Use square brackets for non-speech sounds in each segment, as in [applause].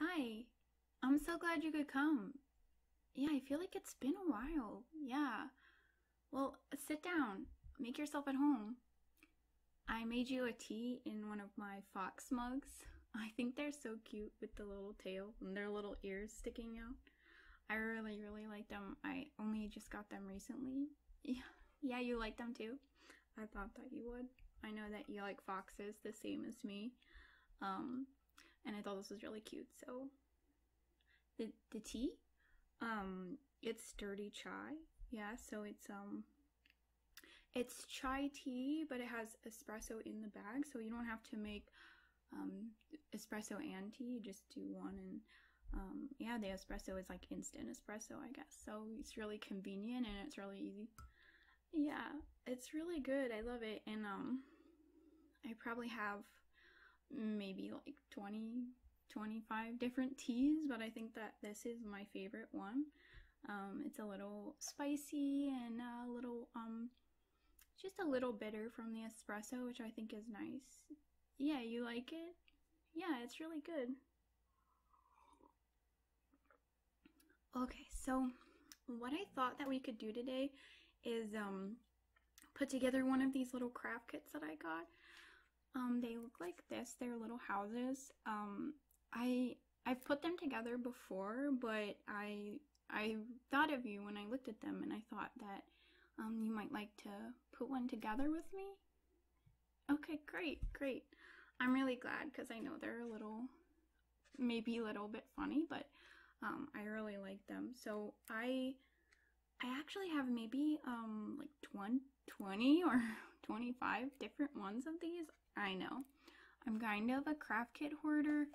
Hi, I'm so glad you could come. Yeah, I feel like it's been a while. Yeah. Well, sit down. Make yourself at home. I made you a tea in one of my fox mugs. [laughs] I think they're so cute with the little tail and their little ears sticking out. I really, really like them. I only just got them recently. Yeah, [laughs] yeah you like them too? I thought that you would. I know that you like foxes the same as me. Um, and I thought this was really cute. So the the tea, um, it's dirty chai. Yeah, so it's um it's chai tea, but it has espresso in the bag, so you don't have to make um, espresso and tea. You just do one, and um, yeah, the espresso is like instant espresso, I guess. So it's really convenient and it's really easy yeah, it's really good. I love it. And um I probably have maybe like 20 25 different teas, but I think that this is my favorite one. Um, it's a little spicy and a little, um, just a little bitter from the espresso, which I think is nice. Yeah, you like it? Yeah, it's really good. Okay, so what I thought that we could do today is um, put together one of these little craft kits that I got. Um, they look like this. They're little houses. Um, I I've put them together before, but I I thought of you when I looked at them, and I thought that um, you might like to put one together with me. Okay, great, great. I'm really glad because I know they're a little, maybe a little bit funny, but um, I really like them. So I, I actually have maybe um, like 20 or [laughs] 25 different ones of these. I know. I'm kind of a craft kit hoarder,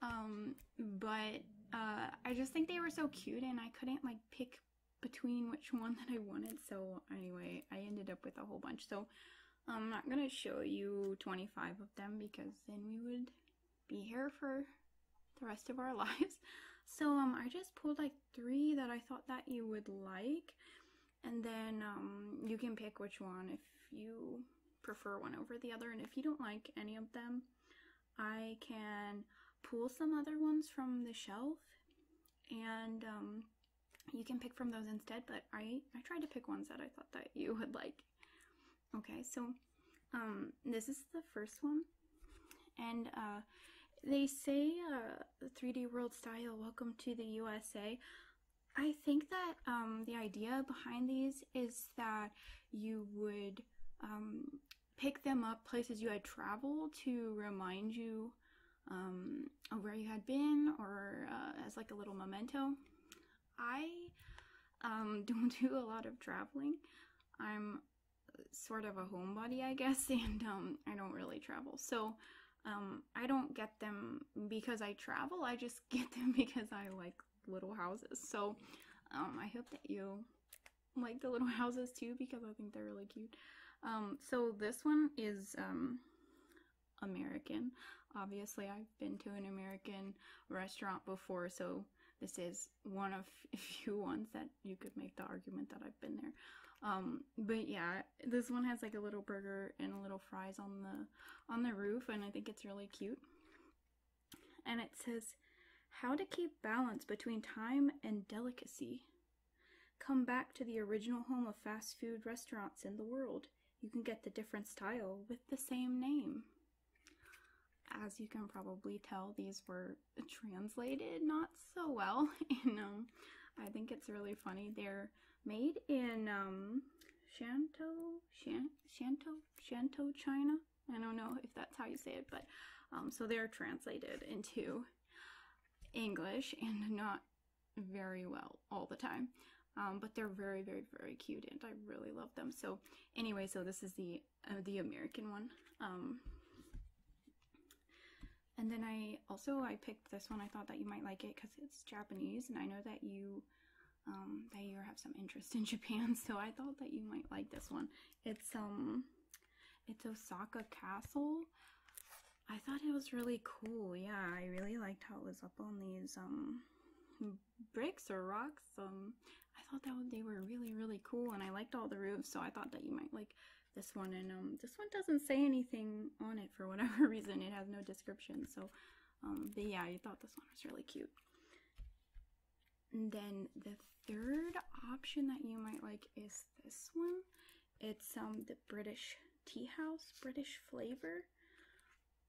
um, but uh, I just think they were so cute and I couldn't like pick between which one [laughs] that I wanted. So anyway, I ended up with a whole bunch. So I'm not gonna show you 25 of them because then we would be here for the rest of our [laughs] lives. So um, I just pulled like three that I thought that you would like, and then um, you can pick which one if you prefer one over the other. And if you don't like any of them, I can pull some other ones from the shelf and um, you can pick from those instead, but I, I tried to pick ones that I thought that you would like. Okay, so um, this is the first one. And uh, they say uh, 3D World Style, welcome to the USA. I think that um, the idea behind these is that you would um, pick them up places you had traveled to remind you um, where you had been or uh, as like a little memento. I um, [laughs] don't do a lot of traveling. I'm sort of a homebody, I guess, [laughs] and um, I don't really travel. So um, I don't get them because I travel. I just [laughs] get them because I like little houses. So um, I hope that you like the little houses too because I think they're really cute. Um, so this one is um, American. Obviously, I've been to an American restaurant before, so this is one of [laughs] a few ones that you could make the argument that I've been there. Um, but yeah, this one has like a little burger and a little fries on the on the roof, and I think it's really cute. And it says, "How to keep balance between time and delicacy." Come back to the original home of fast food restaurants in the world. You can get the different style with the same name. As you can probably tell, these were translated not so well, You [laughs] know, um, I think it's really funny. They're made in um, Shantou, Shan Shantou, Shantou, China. I don't know if that's how you say it, but um, so they're translated into English and not very well all the time. Um, but they're very, very, very cute, and I really love them. So anyway, so this is the uh, the American one. Um, and then I also I picked this one. I thought that you might like it because it's Japanese, and I know that you um, that you have some interest in [laughs] Japan. So I thought that you might like this one. It's um, it's Osaka Castle. I thought it was really cool. Yeah, I really liked how it was up on these um bricks or rocks. Um, I thought that they were really really cool, and I liked all the roofs. So I thought that you might like this one. And um, this one doesn't say anything on it for [laughs] whatever reason. It has no description. So, um, but yeah, I thought this one was really cute. And then the third option that you might like is this one. It's um the British tea house, British flavor.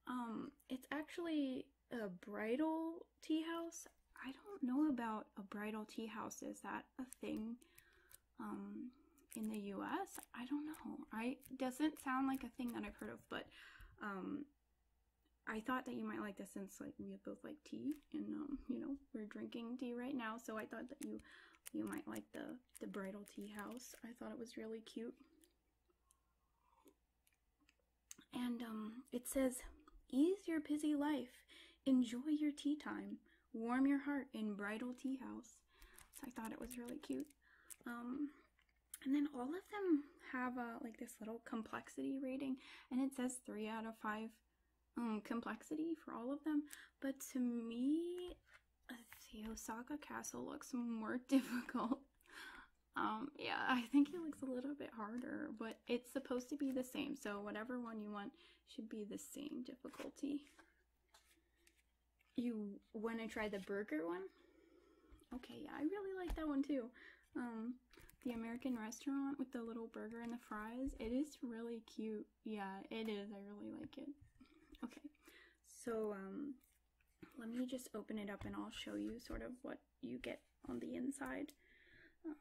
Um, it's actually a bridal tea house. I don't know about a bridal tea house. Is that a thing um, in the US? I don't know. I doesn't sound like a thing that I've heard of, but um, I thought that you might like this since like we both like tea and um, you know we're drinking tea right now, so I thought that you you might like the the bridal tea house. I thought it was really cute. And um, it says, Ease your busy life, enjoy your tea time, warm your heart in bridal tea house. So I thought it was really cute. Um, and then all of them have uh, like this little complexity rating, and it says three out of five um, complexity for all of them. But to me, the Osaka castle looks more [laughs] difficult. Um, yeah, I think it looks a little bit harder, but it's supposed to be the same. So whatever one you want should be the same difficulty. You want to try the burger one? Okay, yeah, I really like that one too. Um, the American restaurant with the little burger and the fries. It is really cute. Yeah, it is. I really like it. Okay. So um, let me just open it up and I'll show you sort of what you get on the inside. Um,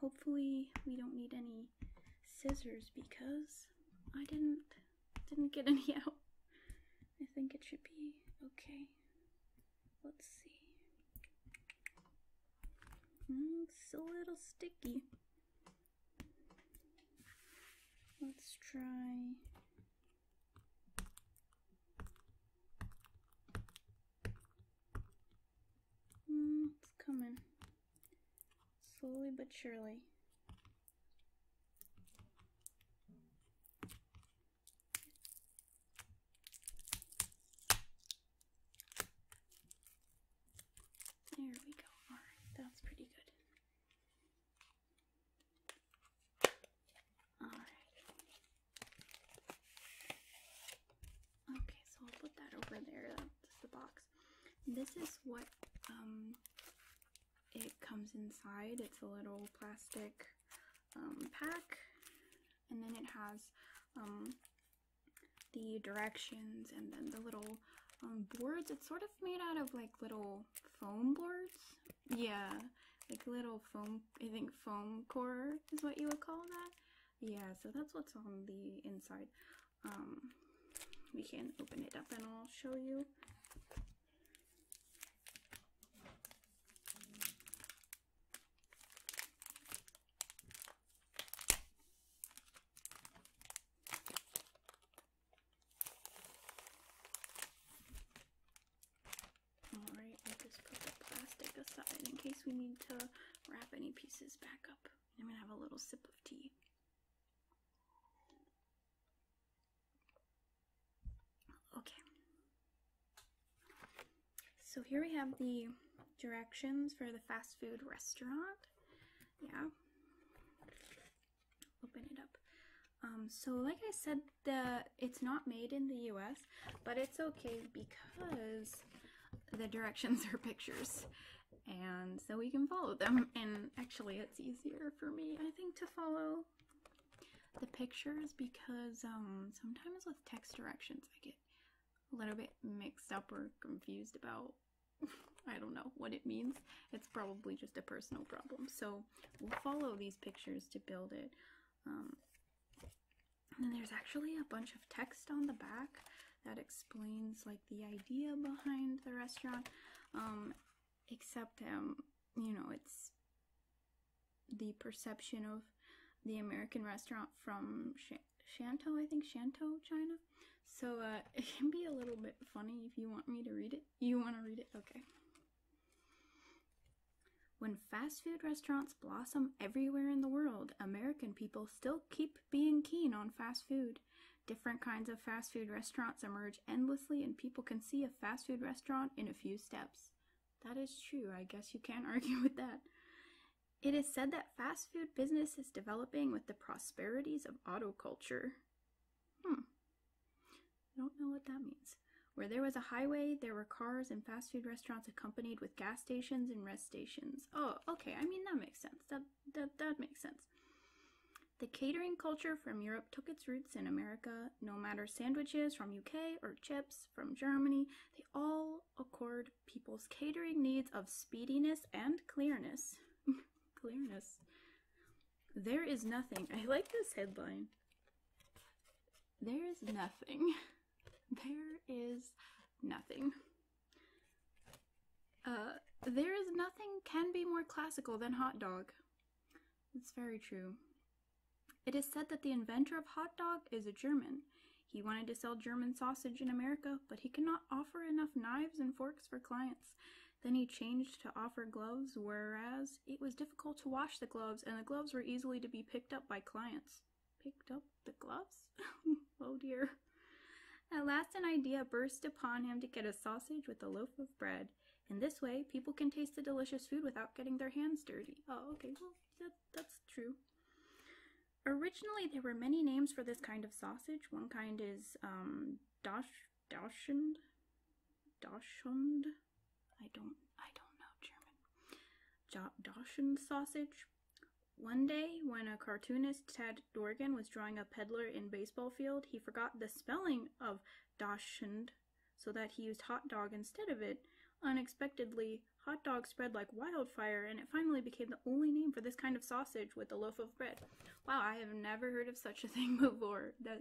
hopefully we don't need any scissors because I didn't didn't get any [laughs] out. I think it should be okay. Let's see. Mm, it's a little sticky. Let's try hmm, it's coming slowly but surely. There we go. Alright, that's pretty good. Okay, so I'll put that over there. Uh, That's the box. This is what um, it comes inside. It's a little plastic um, pack, and then it has um, the directions and then the little boards. It's sort of made out of like little foam boards. Yeah, like little foam, I think foam core is what you would call that. Yeah, so that's what's on the inside. Um, we can open it up and I'll show you. Alright, we just put the plastic aside in case we need to wrap any pieces back up. I'm gonna have a little sip of tea. Okay. So here we have the directions for the fast food restaurant. Yeah open it up. Um, so like I said, the it's not made in the US, but it's okay because the directions are pictures and so we can follow them and actually it's easier for me I think to follow the pictures because um, sometimes with text directions I get a little bit mixed up or confused about [laughs] I don't know what it means. It's probably just a personal problem. So we'll follow these pictures to build it. Um, and there's actually a bunch of text on the back that explains like the idea behind the restaurant. Um, except, um, you know, it's the perception of the American restaurant from Sh Shantou, I think, Shantou, China. So uh, [laughs] it can be a little bit funny if you want me to read it. You want to read it? Okay. When fast food restaurants blossom everywhere in the world, American people still keep being keen on fast food. Different kinds of fast food restaurants emerge endlessly, and people can see a fast food restaurant in a few steps. That is true, I guess you can't [laughs] argue with that. It is said that fast food business is developing with the prosperities of auto culture. Hmm. I don't know what that means. Where there was a highway, there were cars and fast food restaurants accompanied with gas stations and rest stations. Oh, okay. I mean, that makes sense. That, that, that makes sense. The catering culture from Europe took its roots in America. No matter sandwiches from UK or chips from Germany, they all accord people's catering needs of speediness and clearness. [laughs] clearness. There is nothing. I like this headline. There is nothing. [laughs] There is nothing. Uh, there is nothing can be more classical than hot dog. It's very true. It is said that the inventor of hot dog is a German. He wanted to sell German sausage in America, but he could not offer enough knives and forks for clients. Then he changed to offer gloves, whereas it was difficult to wash the gloves, and the gloves were easily to be picked up by clients. Picked up the gloves? [laughs] oh dear. At last, an idea burst upon him to get a sausage with a loaf of bread. In this way, people can taste the delicious food without getting their hands dirty. Oh, okay, well, that's true. Originally, there were many names for this kind of sausage. One kind is um, dash Dachshund, Dachshund. I don't I don't know German. Dachshund sausage. One day, when a cartoonist Ted Dorgan was drawing a peddler in baseball field, he forgot the spelling of Dachshund, so that he used hot dog instead of it. Unexpectedly, hot dog spread like wildfire, and it finally became the only name for this kind of sausage with a loaf of bread. Wow, I have never heard of such a [laughs] thing before. That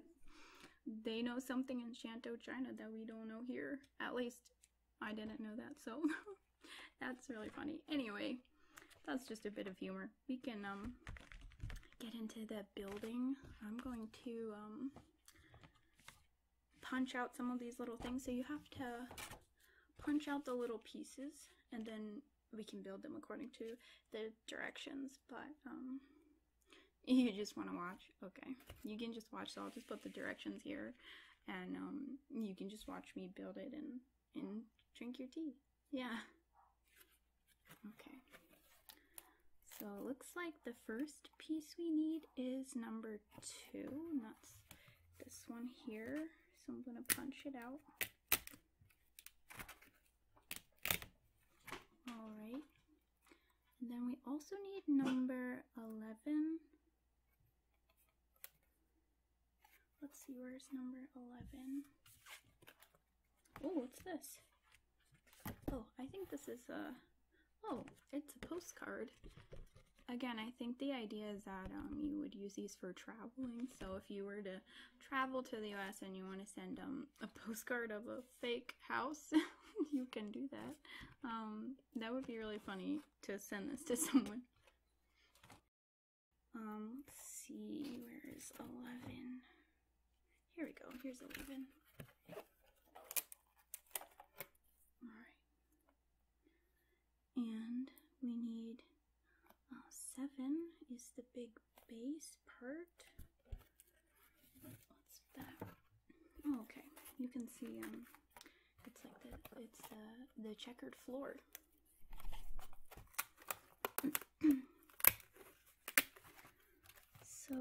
they know something in Shantou, China that we don't know here. At least I didn't know that, so [laughs] that's really funny. Anyway, that's just a bit of humor. We can um get into the building. I'm going to um punch out some of these little things. So you have to punch out the little pieces and then we can build them according to the directions, but um, you just want to watch, okay, you can just watch, so I'll just put the directions here, and um, you can just watch me build it and, and drink your tea. Yeah. Okay. So it looks like the first piece we need is number two, and that's this one here. So I'm going to punch it out. All right. And then we also need number 11. Let's see, where's number 11? Oh, what's this? Oh, I think this is a, oh, it's a postcard. Again, I think the idea is that um, you would use these for traveling. So if you were to travel to the US and you want to send um, a postcard of a fake house, [laughs] you can do that. Um, that would be really funny to send this to [laughs] someone. Um, let's see, where is 11? Here we go, here's 11. Alright. And we need uh, 7 is the big base part. What's that? Oh, okay, you can see um, it's like the it's the uh, the checkered floor. [clears throat] so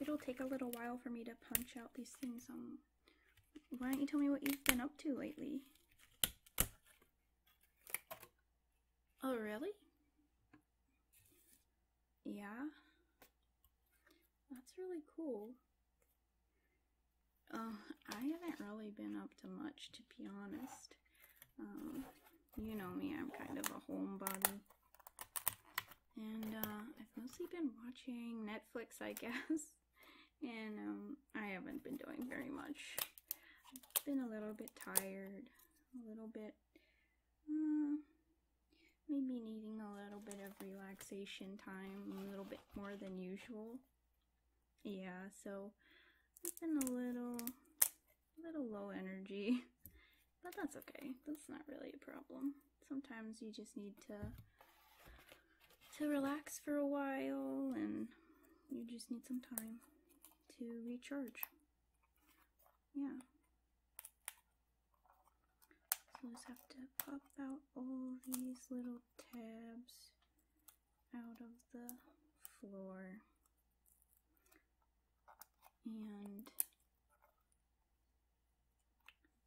it'll take a little while for me to punch out these things. Um, why don't you tell me what you've been up to lately? Oh, really? Yeah. That's really cool. Oh, I haven't really been up to much, to be honest. Um, you know me, I'm kind of a homebody. And uh, I've mostly been watching Netflix, I [laughs] guess. And um, I haven't been doing very much. I've been a little bit tired, a little bit, mm, maybe needing a little bit of relaxation time, a little bit more than usual. Yeah, so I've been a little, a little low energy, [laughs] but that's okay. That's not really a problem. Sometimes you just need to to relax for a while and you just need some time to recharge. Yeah. So just have to pop out all these little tabs out of the floor. And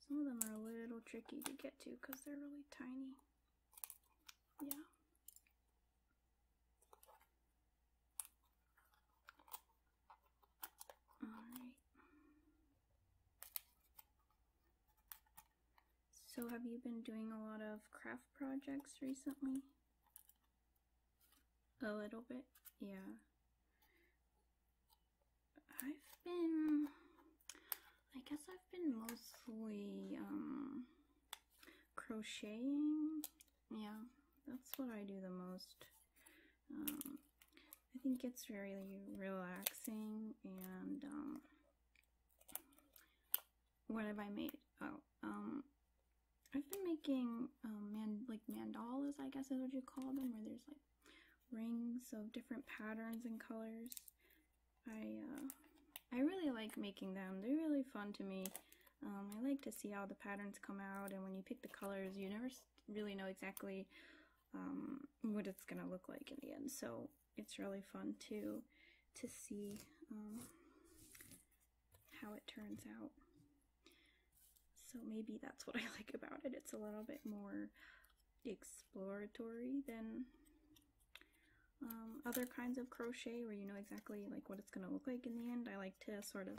some of them are a little tricky to get to because they're really tiny. Yeah. All right. So have you been doing a lot of craft projects recently? A little bit, yeah. I've been, I guess I've been mostly, um, crocheting yeah that's what I do the most um, I think it's really relaxing and um, what have I made oh um I've been making um, man like mandalas I guess is what you call them where there's like rings of different patterns and colors I, uh, I really like making them. They're really fun to me. Um, I like to see how the patterns come out, and when you pick the colors, you never really know exactly um, what it's going to look like in the end. So it's really fun to, to see um, how it turns out. So maybe that's what I [laughs] like about it. It's a little bit more exploratory than um, other kinds of crochet where you know exactly like what it's going to look like in the end. I like to sort of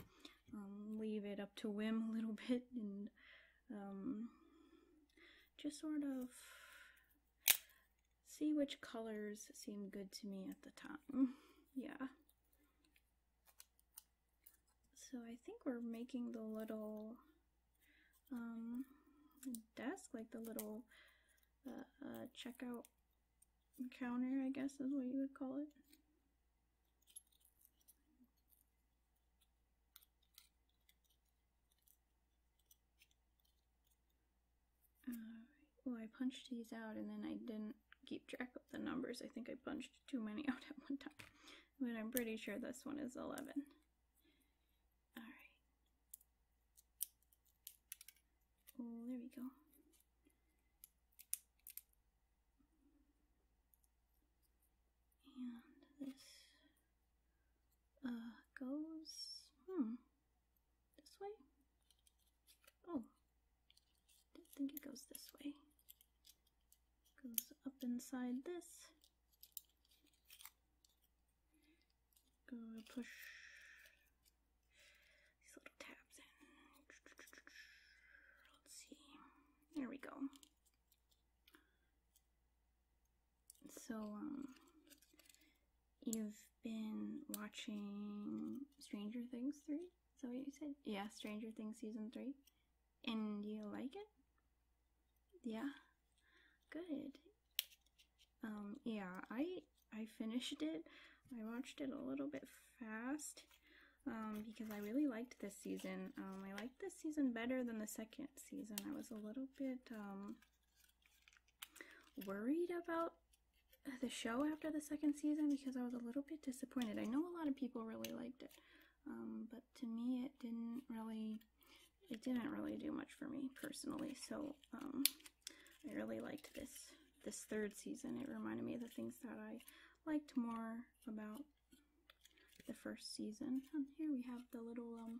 um, leave it up to whim a little [laughs] bit and um, just sort of see which colors seem good to me at the time. [laughs] yeah. So I think we're making the little desk, like the little uh, uh, checkout counter, I guess is what you would call it. Uh, well, I punched these out and then I didn't keep track of the numbers. I think I punched too many [laughs] out at one time. But I'm pretty sure this one is 11. Alright, Oh, there we go. And this uh, goes, hmm, this way? Oh, I think it goes this way. Goes up inside this. Gonna push these little tabs in. Let's see. There we go. So, um, you've been watching Stranger Things 3? Is that what you said? Yeah, Stranger Things Season 3. And you like it? Yeah? Good. Um, yeah, I I finished it. I watched it a little bit fast um, because I really liked this season. Um, I liked this season better than the second season. I was a little bit worried about the show after the second season because I was a little bit disappointed. I know a lot of people really liked it, but to me it didn't really, it didn't really do much for me personally. So I really liked this this third season. It reminded me of the things that I liked more about the first season. Um, here we have the little um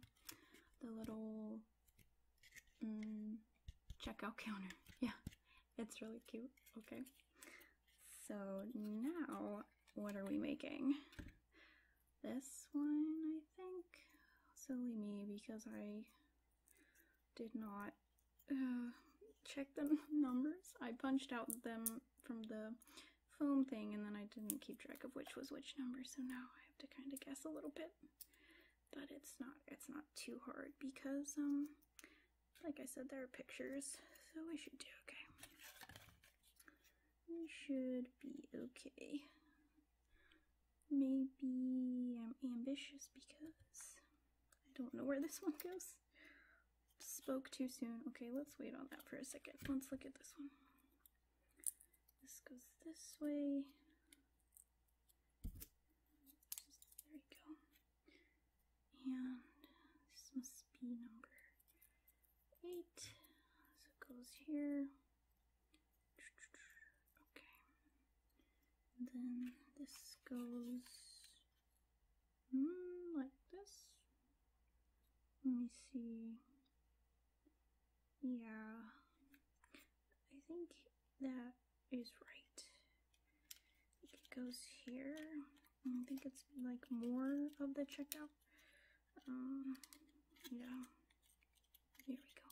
the little mm, checkout counter. [laughs] Yeah, it's really cute. Okay. So now what are we making? This one, I think. Silly me because I did not uh, check the [laughs] numbers. I punched out them from the foam thing and then I didn't keep track of which was which number, so now I have to kind of guess a little bit. But it's not it's not too hard because um like I said there are pictures, so we should do okay. We should be okay. Maybe I'm ambitious because I don't know where this one goes. Spoke too soon. Okay, let's wait on that for a second. Let's look at this one. This goes this way. There we go. And this must be number eight. So it goes here. Okay. then this goes mm, like this. Let me see. Yeah. I think that is right. it goes here. I think it's like more of the checkout. Um, yeah. Here we go.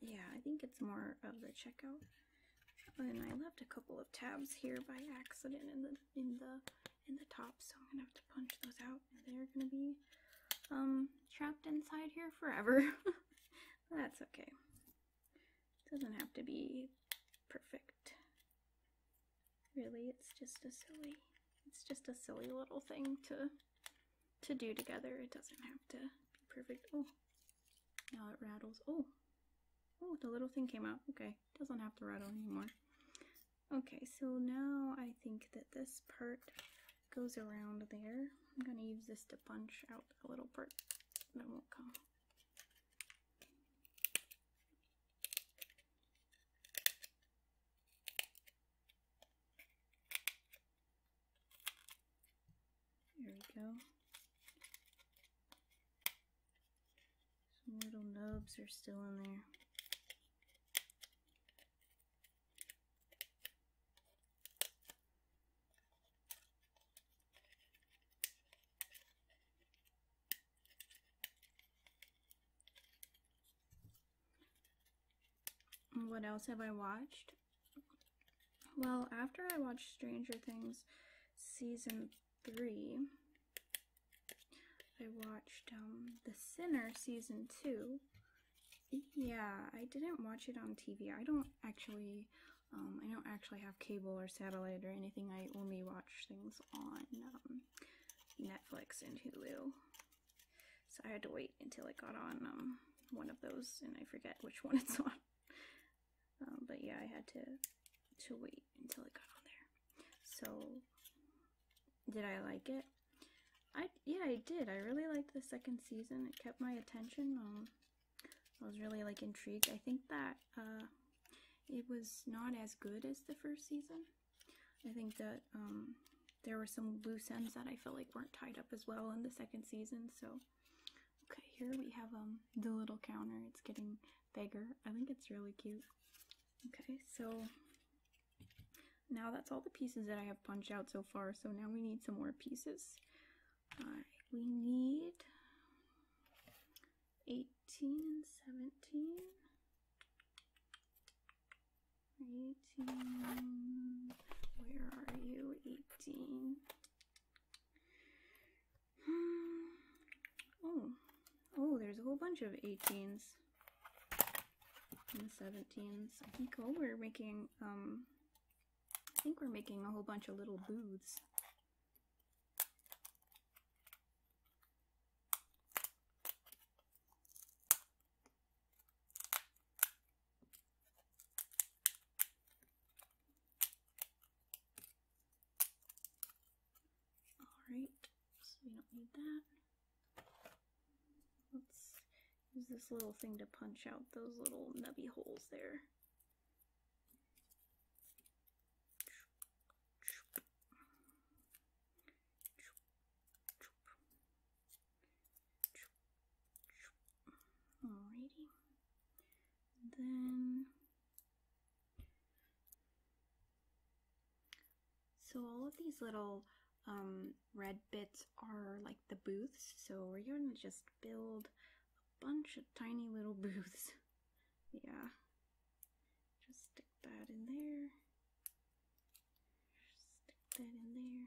Yeah, I think it's more of the checkout. And I left a couple of tabs here by accident in the in the in the top, so I'm gonna have to punch those out. They're gonna be um trapped inside here forever. [laughs] That's okay. Doesn't have to be perfect. Really, it's just a silly it's just a silly little thing to to do together. It doesn't have to be perfect. Oh, now it rattles. Oh, oh, the little thing came out. Okay, doesn't have to rattle anymore. Okay, so now I think that this part goes around there. I'm going to use this to punch out a little part that won't come. There we go. Some little nubs are still in there. What else have I watched? Well, after I watched Stranger Things season three, I watched um, The Sinner season two. Yeah, I didn't watch it on TV. I don't actually, um, I don't actually have cable or satellite or anything. I only watch things on um, Netflix and Hulu. So I had to wait until I got on um, one of those, and I forget which one it's on. Um, but yeah, I had to to wait until it got on there. So did I like it? I yeah, I did. I really liked the second season. It kept my attention. Um, I was really like intrigued. I think that uh, it was not as good as the first season. I think that um, there were some loose ends that I felt like weren't tied up as well in the second season. So, okay, here we have um the little counter. It's getting bigger. I think it's really cute. Okay, so now that's all the pieces that I have punched out so far. So now we need some more pieces. we need 18 and 17. Right where are you? 18. Hmm. Oh, oh, there's a whole bunch of 18s and 17s. I think oh, we're making, um, I think we're making a whole bunch of little booths. Alright, so we don't need that. Let's use this little thing to punch out those little nubby holes there. Alrighty. then so all of these little um, red bits are like the booths. So we're gonna just build a bunch of tiny little [laughs] booths. yeah. Just stick that in there. stick that in there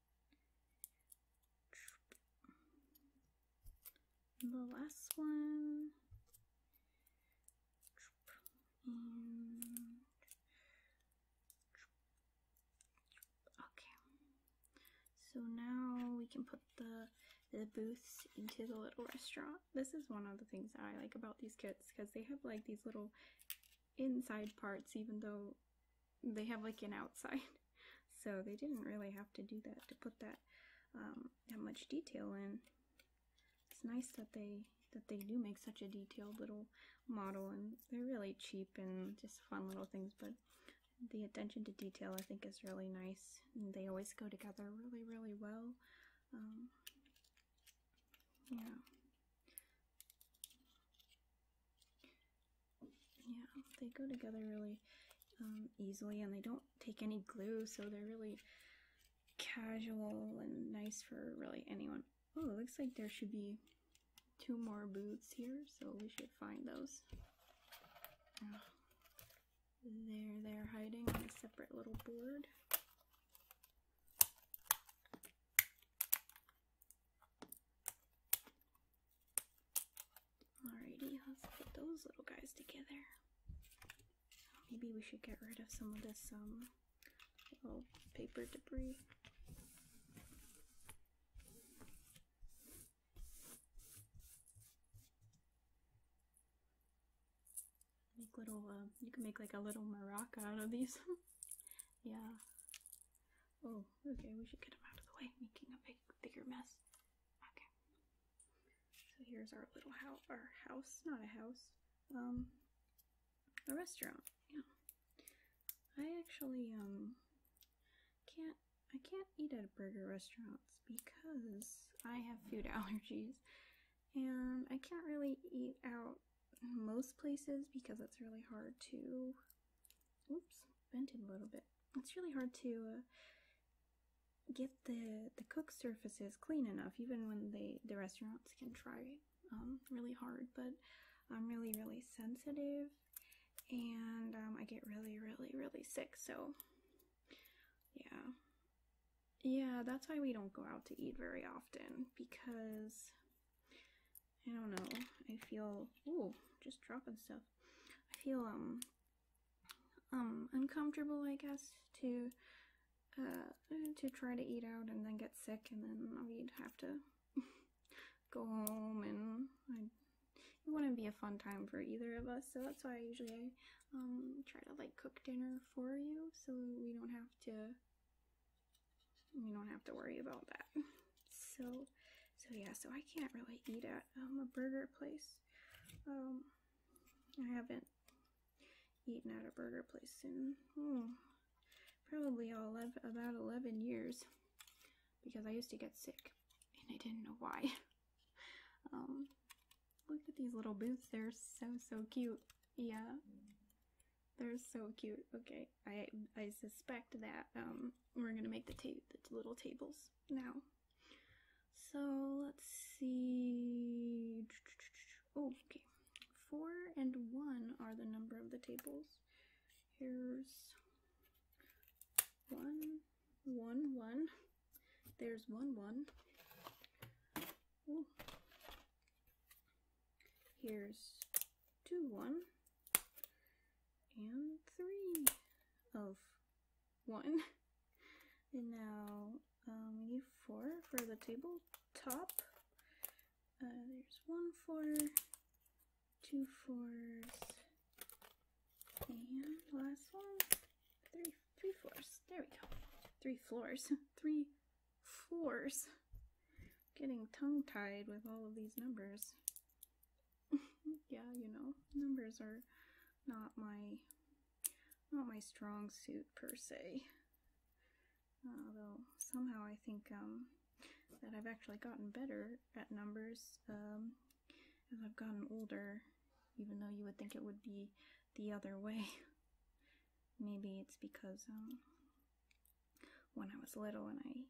the last one. okay. So now we can put the the booths into the little restaurant. This is one of the things that I like about these kits because they have like these little inside parts even though they have like an outside. [laughs] So they didn't really have to do that to put that um, that much detail in. It's nice that they that they do make such a detailed little model and they're really cheap and just fun little things but the attention to detail I think is really nice and they always go together really really well um, yeah yeah, they go together really um, easily and they don't take any glue, so they're really casual and nice for really anyone. Oh, it looks like there should be two more boots here, so we should find those. Ah, there they're hiding on a separate little board. Alrighty, let's put those little guys together. Maybe we should get rid of some of this um, paper debris. Make little, uh, you can make like a little maraca out of these. [laughs] yeah, Oh, okay, we should get them out of the way, making a big, bigger mess. Okay. So here's our little house, our house, not a house, um, a restaurant, yeah. I actually, um, can't, I can't eat at burger restaurants because I have food [laughs] allergies, and I can't really eat out most places because it's really hard to oops, bent it a little bit. It's really hard to uh, get the the cook surfaces clean enough, even when they the restaurants can try um, really hard. But I'm really really sensitive, and um, I get really really really sick. So yeah, yeah, that's why we don't go out to eat very often because I don't know. I feel oh, just dropping stuff. I feel um um uncomfortable, I guess, to uh, to try to eat out and then get sick and then we'd have to [laughs] go home and it wouldn't be a fun time for either of us. So that's why I usually um try to like cook dinner for you so we don't have to we don't have to worry about that so so yeah so i can't really eat at um, a burger place um i haven't eaten at a burger place in oh, probably all 11, about 11 years because i used to get sick and i didn't know why [laughs] um look at these little booths. they're so so cute yeah they're so cute okay I I suspect that um, we're gonna make the, ta the little tables now. So let's see. Oh, okay, four and one are the number of the tables. Here's one, one, one. There's one, one. Here's two, one, and three of one. [laughs] And now um, we need four for the table top. Uh, there's one four, two fours, and last one, three, three fours. There we go. three fours, [laughs] three fours. Getting tongue-tied with all of these numbers. [laughs] yeah, you know, numbers are not my not my strong suit per se. Although somehow I think um, that I've actually gotten better at numbers um, as I've gotten older, even though you would think it would be the other way. [laughs] Maybe it's because um, when I was little and I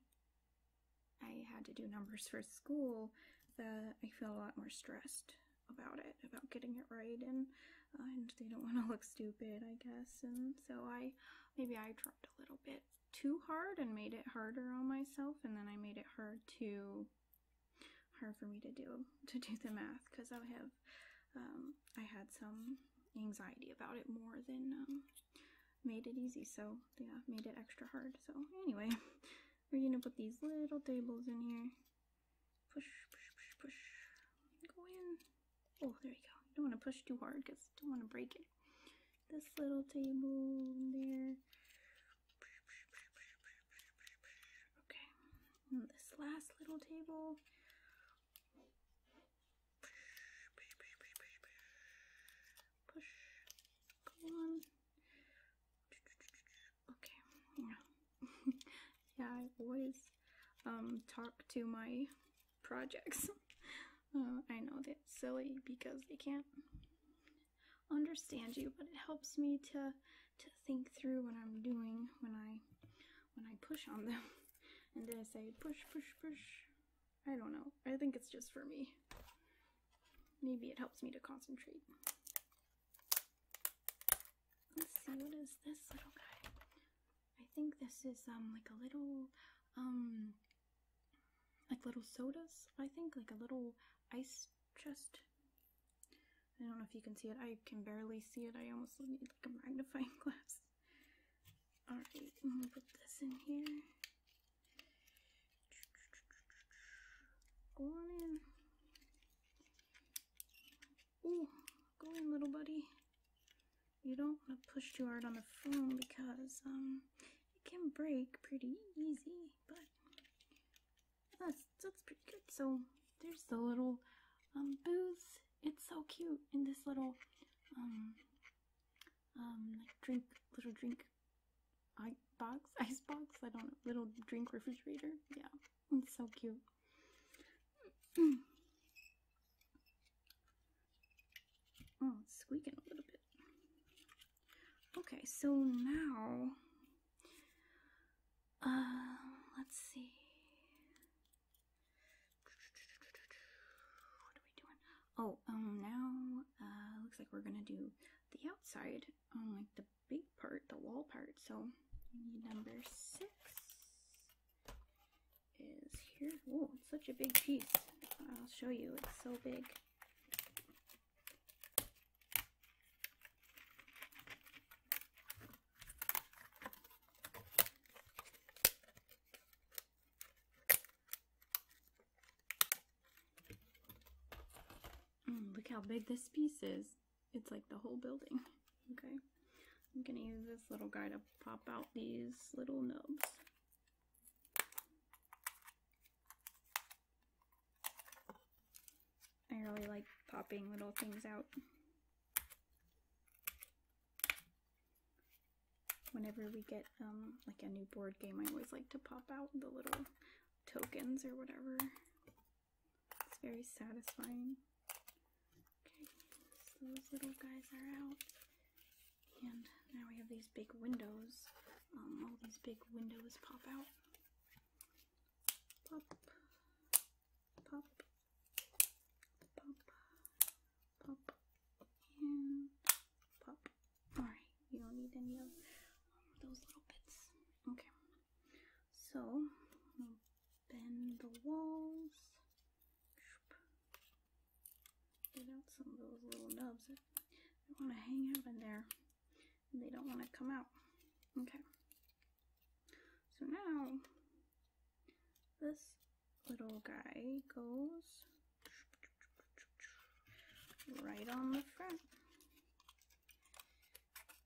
I had to do numbers for school, that I feel a lot more stressed about it, about getting it right, and uh, and they don't want to [laughs] look stupid, I guess. And so I maybe I tried a little bit too hard and made it harder on myself, and then I made it hard too hard for me to do to do the math because I have um, I had some anxiety about it more than um, made it easy, so yeah, made it extra hard. So anyway, [laughs] we're gonna put these little tables in here. Push, push, push, push. Go in. Oh, there you go. You don't want to push too hard because you don't want to break it. This little table there. Okay. And this last little table push, go on. Okay, yeah, [laughs] yeah I always um, talk to my projects. [laughs] Uh, I know that's silly because they can't understand you, but it helps me to to think through what I'm doing when I when I push on them. [laughs] And then I say push, push, push, I don't know. I think it's just for me. Maybe it helps me to concentrate. Let's see, what is this little guy? I think this is um like a little um like little sodas, I think, like a little ice chest. I don't know if you can see it. I can barely see it. I almost need like a magnifying [laughs] glass. Alright, I'm gonna put this in here. Go on in. Ooh, go in, little buddy. You don't want to push too hard on the phone because um, it can break pretty easy, but that's, that's pretty good. So there's the little um, booze. It's so cute in this little um, um, drink, little drink drink box, [laughs] ice box, I don't know, little drink refrigerator. Yeah, it's so cute. [clears throat] Oh, squeaking a little bit. Okay, so now, uh, let's see. What are we doing? Oh, um, now uh, looks like we're gonna do the outside, um, like the big part, the wall part. So number six is here. Oh, it's such a big piece. I'll show you. It's so big. Mm, look how big this piece is. It's like the whole building. [laughs] Okay. I'm going to use this little guy to pop out these little nubs. I really like popping little things out whenever we get um, like a new board game, I always like to pop out the little tokens or whatever. It's very satisfying. Okay, those little guys are out. And now we have these big windows. Um, all these big windows pop out. Pop. Pop. Pop pop, and pop. Alright, you don't need any of um, those little bits. Okay, so bend the walls, get out some of those little nubs that want to hang out in there they don't want to come out. Okay, so now this little guy goes right on the front.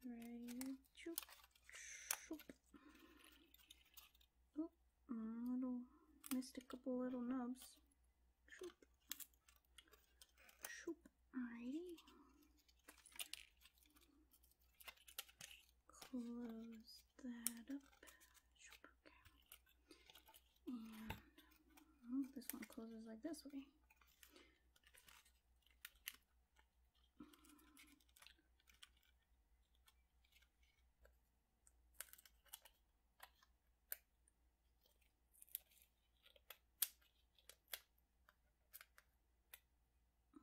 Right, choop, choop. little missed a couple little nubs. Alrighty. Close that up. Okay. And oh, this one closes like this way.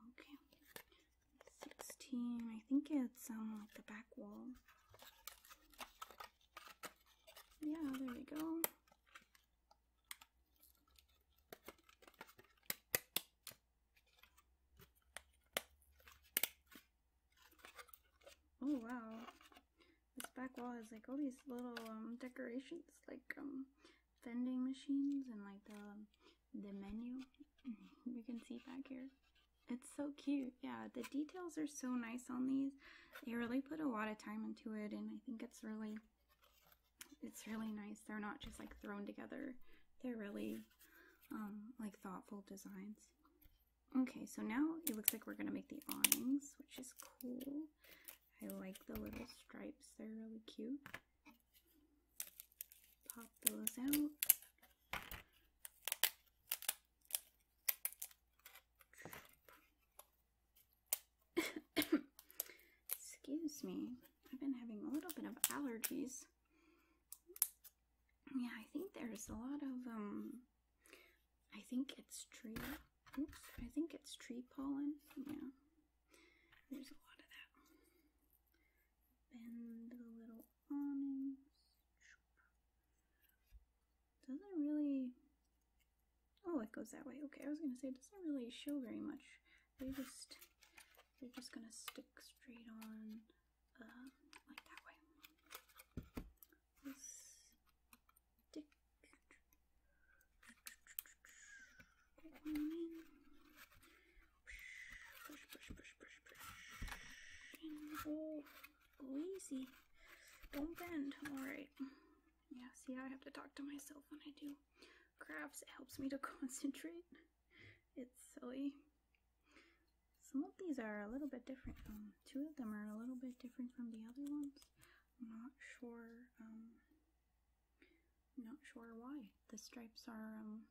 Okay. 16, I think it's um the back wall. Yeah, there we go. Oh wow. This back wall has like all these little um, decorations like um, vending machines and like the, the menu [laughs] you can see back here. It's so cute. Yeah, the details are so nice on these. They really put a lot of time into it and I think it's really it's really nice. They're not just like thrown together. They're really um, like thoughtful designs. Okay, so now it looks like we're going to make the awnings, which is cool. I like the little stripes. They're really cute. Pop those out. Excuse me. I've been having a little bit of allergies. Yeah, I think there's a lot of, um, I think it's tree, oops, I think it's tree pollen. Yeah, there's a lot of that. Bend the little awnings doesn't really, oh, it goes that way. Okay, I was gonna say it doesn't really show very much. They just, they're just gonna stick straight on like that way. Go easy. Don't bend. Alright. Yeah, see, I have to talk to myself when I do crafts. It helps me to [laughs] concentrate. It's silly. Some of these are a little bit different. Um, two of them are a little bit different from the other ones. I'm not sure. Um, not sure why. The stripes are um,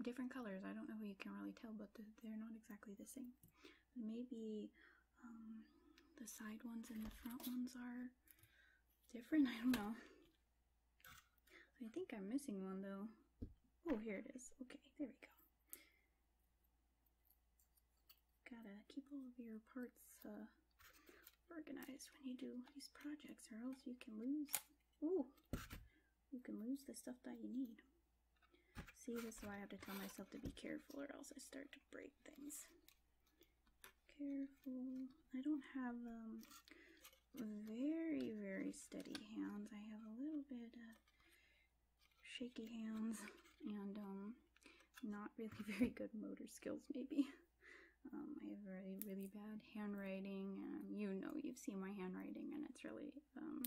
different colors. I don't know if you can really tell, but they're not exactly the same. Maybe um, the side ones and the front ones are different. [laughs] I don't know. I think I'm missing one though. Oh, here it is. Okay, there we go. Gotta keep all of your parts uh, organized when you do these projects or else you can lose, ooh, you can lose the stuff that you need. See, this is why I have to tell myself to be careful or else I start to break things. Careful. I don't have um, very, very steady hands. I have a little bit shaky hands and um, not really [laughs] very good motor skills maybe. Um, I have really, really bad handwriting. you know, you've seen my handwriting, and it's really um,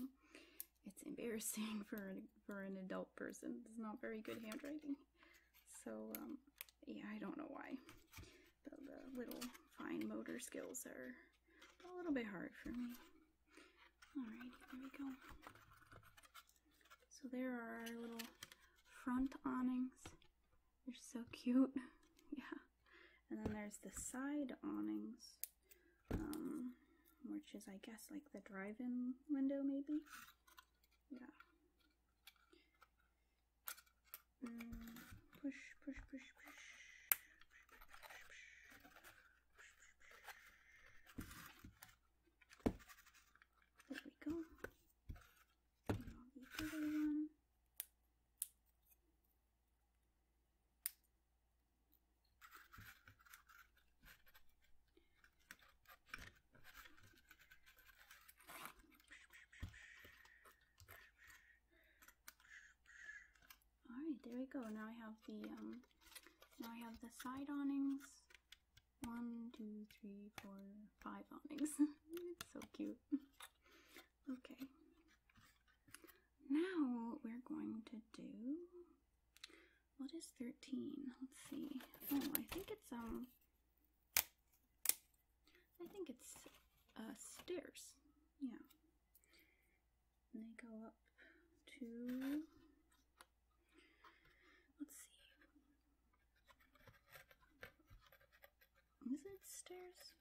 it's embarrassing [laughs] for an, for an adult person. It's not very good handwriting. So, um, yeah, I don't know why. the little fine motor skills are a little bit hard for me. Alright, there we go. So there are our little front awnings. They're so [laughs] cute. yeah. And then there's the side awnings. Um, which is I guess like the drive-in window maybe. Yeah. Mm, push, push, push, push. There we go. All right, there we go. Now I have the um, now I have the side awnings. One, two, three, four, five awnings. [laughs] so cute. Okay. Now we're going to do what is 13? Let's see. Oh, I think it's, um, I think it's, uh, stairs. Yeah. And they go up to, let's see. Is it stairs?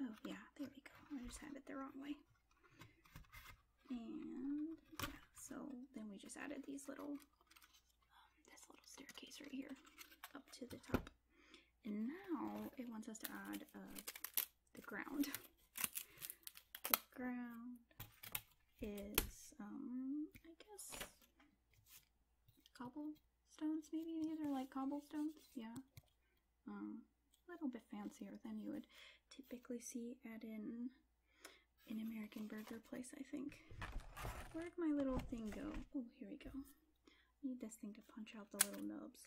Oh, yeah, there we go. I just had it the wrong way. And yeah, so then we just added these little, um, this little staircase right here up to the top. And now it wants us to add uh, the ground. The ground is, um, I guess, cobblestones maybe? These are like cobblestones, yeah. Um, a little bit fancier than you would typically see at an, an American burger place, I think. Where'd my little thing go? Oh, here we go. need this thing to punch out the little nubs.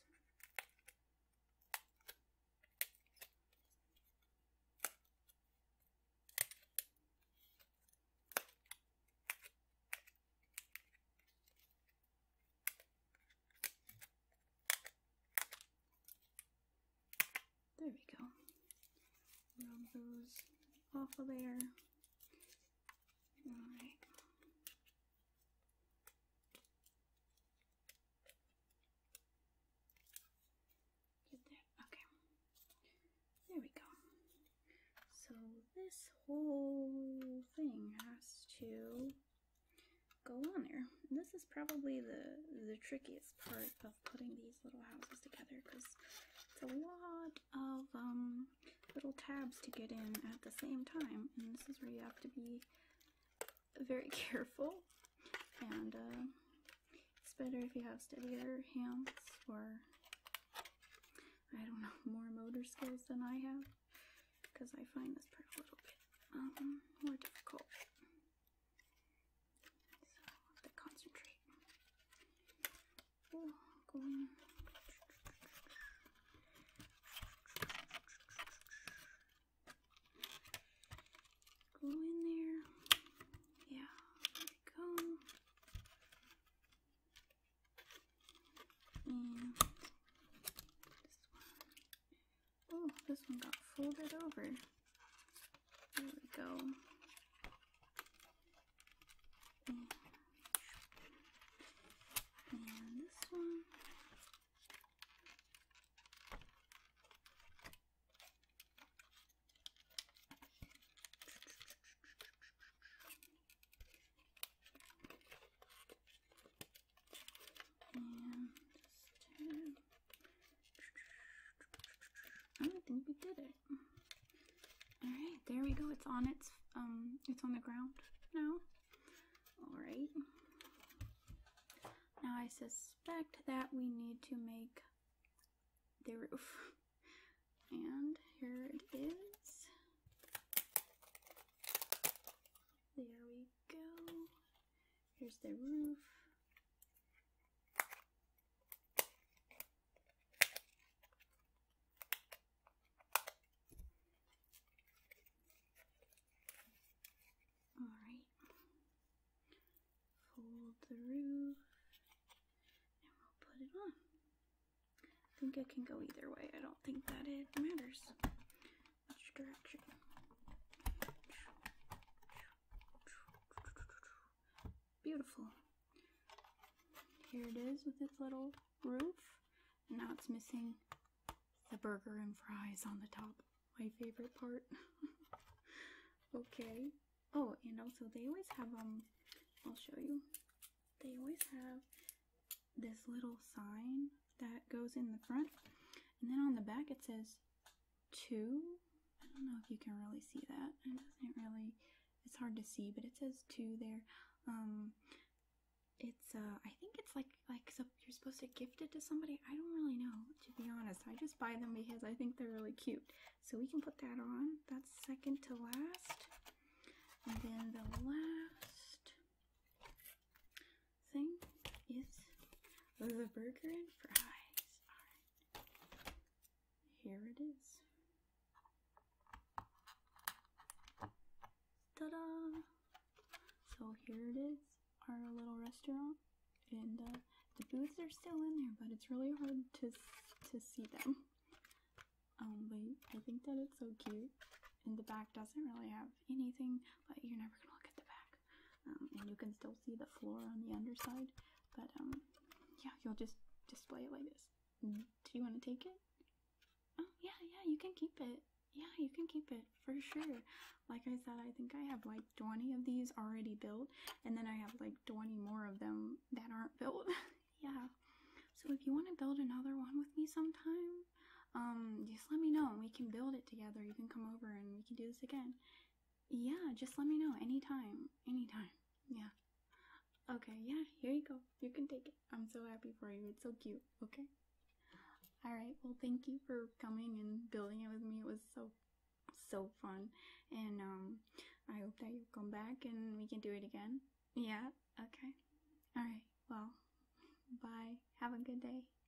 There we go. Rub those off of there. Alright. Get that. Okay. There we go. So this whole thing has to go on there. this is probably the the trickiest part of putting these little houses together because it's a lot of um, little tabs to get in at the same time, and this is where you have to be very [laughs] careful. And uh, it's better if you have steadier hands or I don't know [laughs] more motor skills than I have because I find this part a little bit um, more difficult. So I have to concentrate. Go in there. Yeah, go. And this one. Oh, this one got folded over. There we go. And, this one. And just turn. think we did it. All right, there we go. It's on its um, it's on the ground now. All right. Now I suspect that we need to make the roof. [laughs] And here it is. There we go. Here's the roof. All right. Fold the roof and we'll put it on. I think it can go either way. I don't think that it matters. Which direction? Beautiful. Here it is with its little roof. And now it's missing the burger and fries on the top. My favorite part. [laughs] okay. Oh, and also they always have, um, I'll show you. They always have this little sign that goes in the front. And then on the back it says two. I don't know if you can really see that. It doesn't really, it's hard to see, but it says two there. Um, it's uh, I think it's like like so you're supposed to gift it to somebody. I don't really know to be honest. I just buy them because I think they're really cute. So we can put that on. That's second to last, and then the last thing is the burger and fries. Alright. Here it is. Ta-da! So here it is, our little restaurant. And uh, the booths are still in there, but it's really hard to, to see them. Um, I think that it's so cute. And the back doesn't really have anything, but you're never gonna look at the back. Um, and you can still see the floor on the underside. But um, yeah, you'll just display it like this. Mm, do you want to take it? Oh yeah, yeah, you can keep it. Yeah, you can keep it for sure. Like I said, I think I have like 20 of these already built, and then I have like 20 more of them that aren't built. [laughs] yeah. So if you want to build another one with me sometime, um just let me know we can build it together you can come over and we can do this again yeah just let me know anytime anytime [laughs] yeah okay yeah here you go you can take it i'm so happy for you it's so cute okay all right well thank you for coming and building it with me it was so so fun and um i hope that you come back and we can do it again yeah okay all right well [laughs] bye have a good day